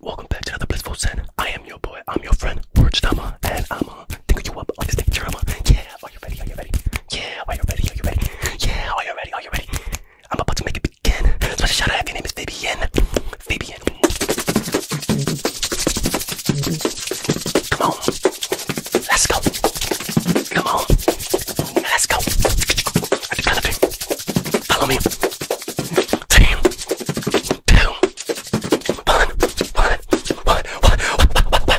Welcome back to another blissful sin. I am your boy. I'm your friend, Word Stammer, and I'm a uh, think you up like a stick drama. Yeah, are you ready? Are you ready? Yeah, are you ready? Are you ready? Yeah, are you ready? Are you ready? I'm about to make it begin. Special shout out. If your name is Fabian. Fabian. Come on. Let's go. Come on. Let's go. I can do. Follow me. Ten, two, one, one, one, one, one, one.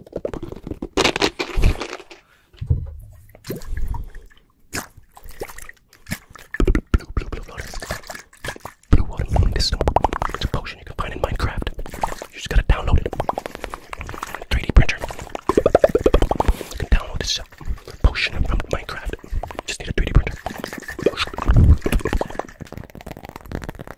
Blue, blue, blue water. Blue water, you need to stop. It's a potion you can find in Minecraft. You just gotta download it. 3D printer. You can download this potion from Minecraft. Just need a 3D printer.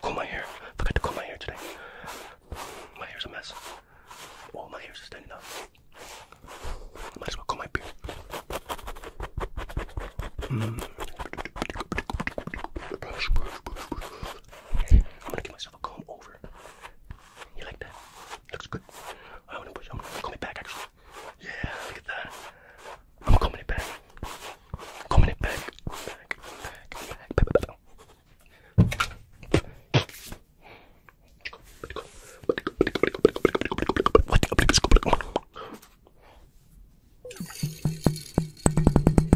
comb my hair. I forgot to comb my hair today. My hair's a mess. All oh, my hair's standing up. Might as well comb my beard. Mm. I'm gonna give myself a comb over you like that? Looks good. I wanna push. I'm gonna comb it back actually. Yeah, look at that. I'm combing it back. Combing it back. Back, back, back, back, back.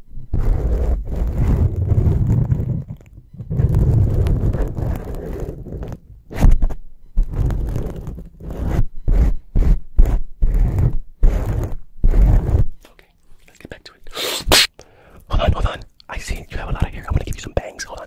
Okay, let's get back to it. hold on, hold on. I see you have a lot of hair. I'm gonna give you some bangs. Hold on.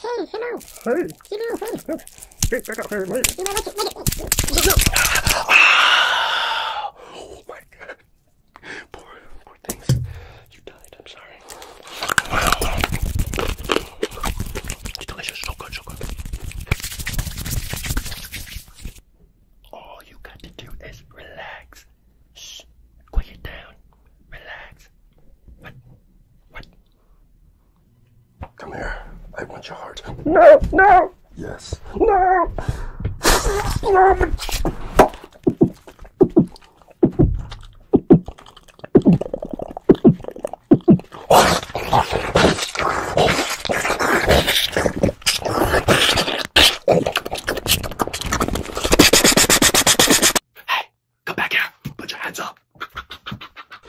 Hey, hello. Hey. Hello, hey oh my god. Poor, poor things. You died. I'm sorry. It's delicious. So good. So good. All you got to do is relax. Shh. Quiet down. Relax. What? What? Come here. I want your heart. No, no. Yes. No. Hey, come back here. Put your hands up.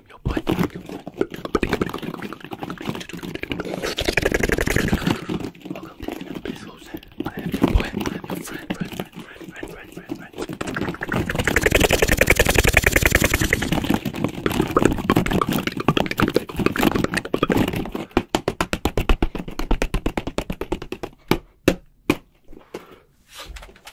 am your boy. Welcome to an episode. I am your boy. I am your friend, friend, friend, friend, friend, friend, friend.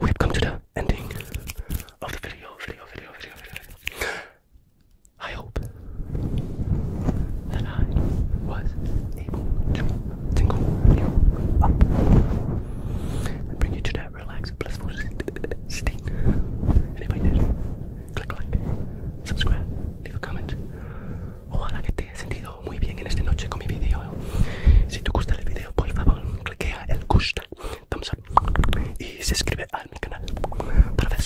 We've come to the ending of the video, video, video, video, video. I hope that I was able to bring you to that relaxed, blissful state. And did, click like, subscribe, leave a comment. O oh, ojalá que te haya sentido muy bien en esta noche con mi vídeo. ¿eh? Si te gusta el vídeo, por favor, cliquea el gusta, thumbs up y suscríbete a mi canal para ver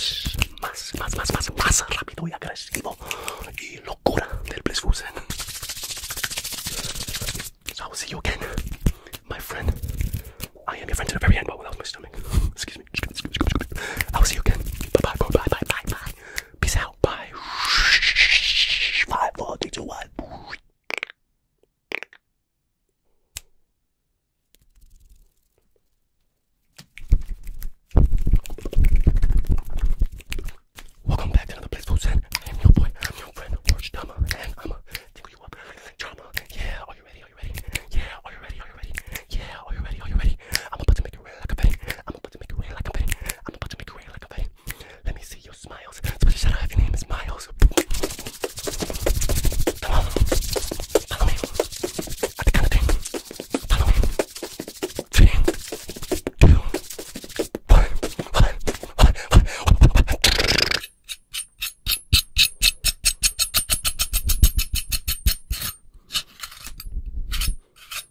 más, más, más, más, más rápido y agresivo y locura del Blitzfusen. So I will see you again, my friend. I am your friend to the very end, but without my stomach. Excuse me. I will see you again. Bye bye, bye bye, bye bye. Peace out. Bye. Five, four, three, two, one. Welcome back to another Blissful Zen. I'm your boy, I'm your friend, Orange Dama, and I'ma tickle you up. Drama, yeah, are you ready? Are you ready? Yeah, are you ready? Are you ready? Yeah, are you ready? Are you ready? I'm about to make it rain like a betty. I'm about to make it rain like a betty. I'm about to make it rain like a betty. Let me see your smiles. Somebody shout out if your name is Miles. Come on. Follow me. Follow me. Ten, two, one, one, one, one, one, one.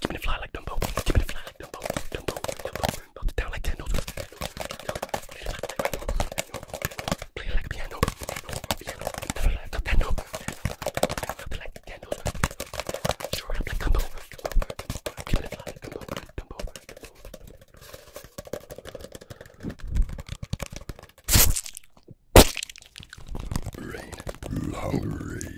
Give me the fly like Dumbo. Give me the fly like Dumbo. Dumbo. Dumbo. Melt it down like candles. Play it like a piano. Piano. Never like a piano. Melt it like candles. Sure up like Dumbo. Give me the fly like Dumbo. Dumbo. Dumbo. Rain. Long rain.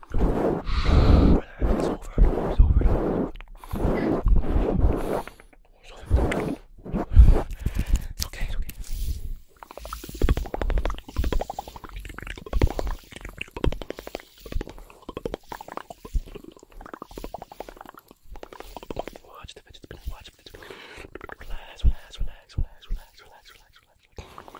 It's over. It's over. It's over. It's okay. It's okay. Watch the vegetable. Watch the vegetable. Relax. Relax. Relax. Relax. Relax. Relax. Relax. Relax.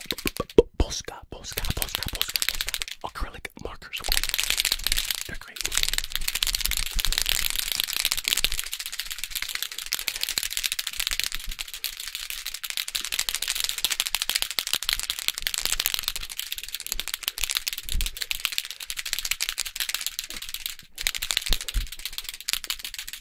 Posca, Posca, Posca, Posca, acrylic markers. They're great.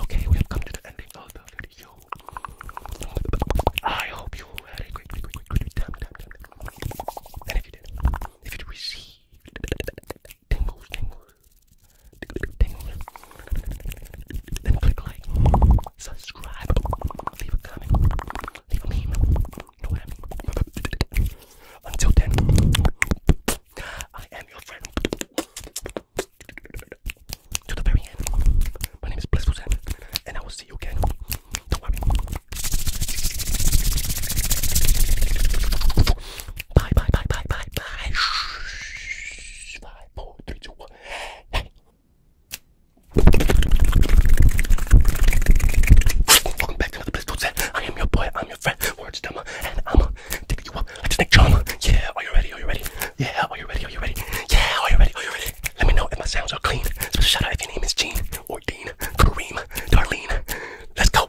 Okay, we have come to the ending of the video. I hope you had a great, great, great, great time, time, And if you did, if you received tingles, then click like, subscribe, leave a comment, leave a meme. Until then, I am your friend to the very end. My name is Blissful Zen, and I will see you again. Don't worry. Bye, bye, bye, bye, bye, bye. Five, four, three, two, one. Hey. Welcome back to another Blissful Zen. I am your boy. I'm your friend. Words Dama, and I'm taking you up like Snake Charmer. Yeah. Are you ready? Are you ready? Yeah. Are you ready? Are you ready? Yeah. Are you ready? Are you ready? Let me know if my sounds are clean. Special shout out if your name is Jean or Dean, Kareem, Darlene. Let's go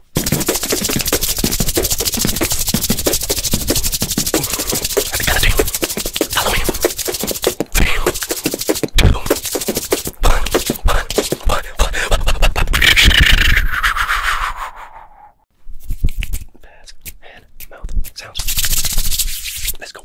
and mouth sounds. Let's go.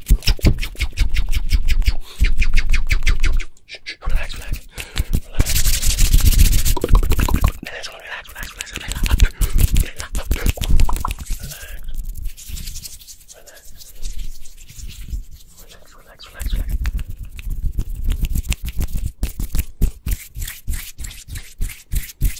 Relax, relax, relax. Good, good, good, good, good. Relax, relax, relax, relax, relax. Relax, relax, relax, relax. Relax,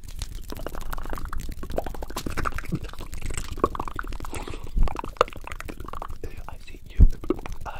I see you. I see you. Wow. Wow.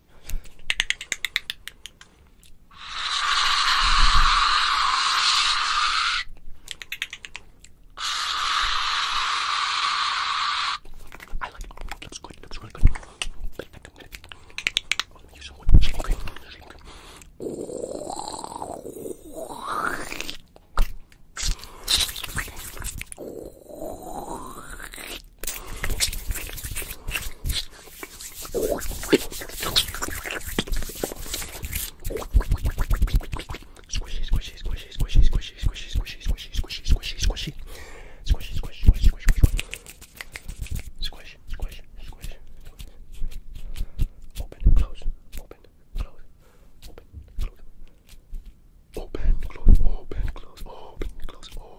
I like it. Looks good. Looks really good. But I think I'm gonna be use some more shaving cream. Shaving cream. Open, close, open, close, open, close, open.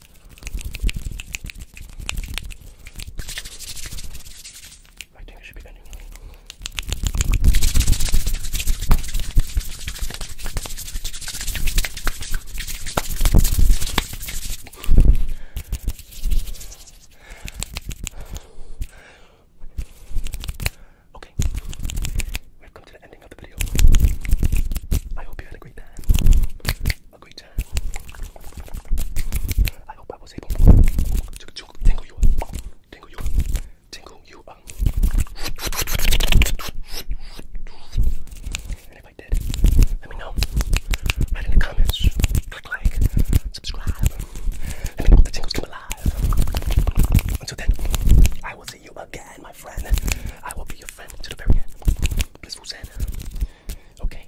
I think it should be Okay, we've come to the ending of the video. I hope you had a great time a great time. I hope I was able to, to you up, tingle you up, tingle you up. And if I did, let me know. Write in the comments. like, subscribe. Let me know the tingles come alive. Until then, I will see you again, my friend. I will be your friend to the very end. Blissful Zen. Okay.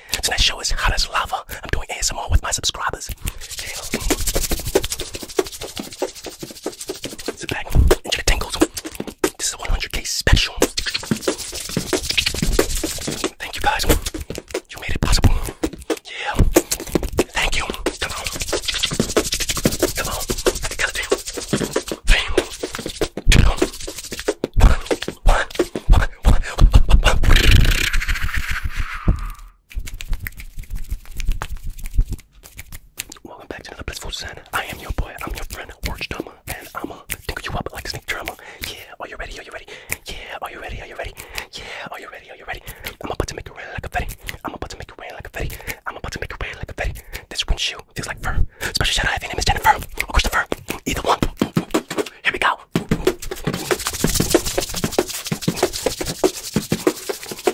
Tonight's show is hot as lava. I'm doing ASMR with my subscribers. Sit back, enjoy the tingles. This is a 100k special. Thank you guys. You made it possible. Yeah. Thank you. Come on. Come on. Welcome back to another Blissful Zen. I am your boy, I'm your friend, Orange Dama, and I'ma tickle you up like snake drama. Yeah, are you ready? Are you ready? Yeah, are you ready? Are you ready? Yeah, are you ready? Are you ready? I'm about to make it rain like a fetty. I'm about to make it rain like a fetty. I'm about to make it rain like a fetty. This windshield feels like fur. Special shout out if your name is Jennifer Christopher. Either one. Here we go.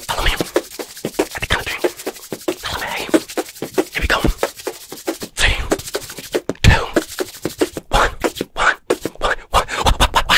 Follow me. At the country. Follow me. Here we go. Three, two, one, one, one, one, one, one, one, one.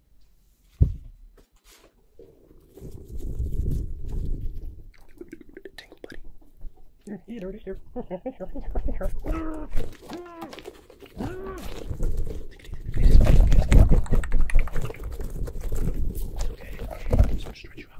Thanks, buddy. Here, here, here. It's okay. I'm just gonna stretch you out.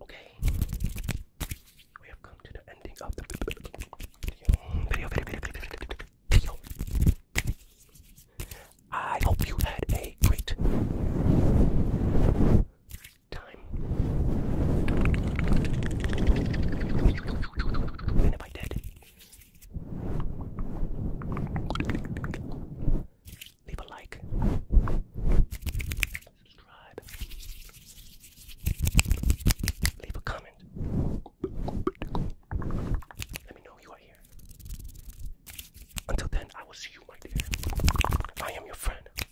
Okay, we have come to the ending of the video. Video, video, video, video, I hope you had a great time. leave a like, subscribe, leave a comment. Let me know you are here. Until then, I will see you right there. I am your friend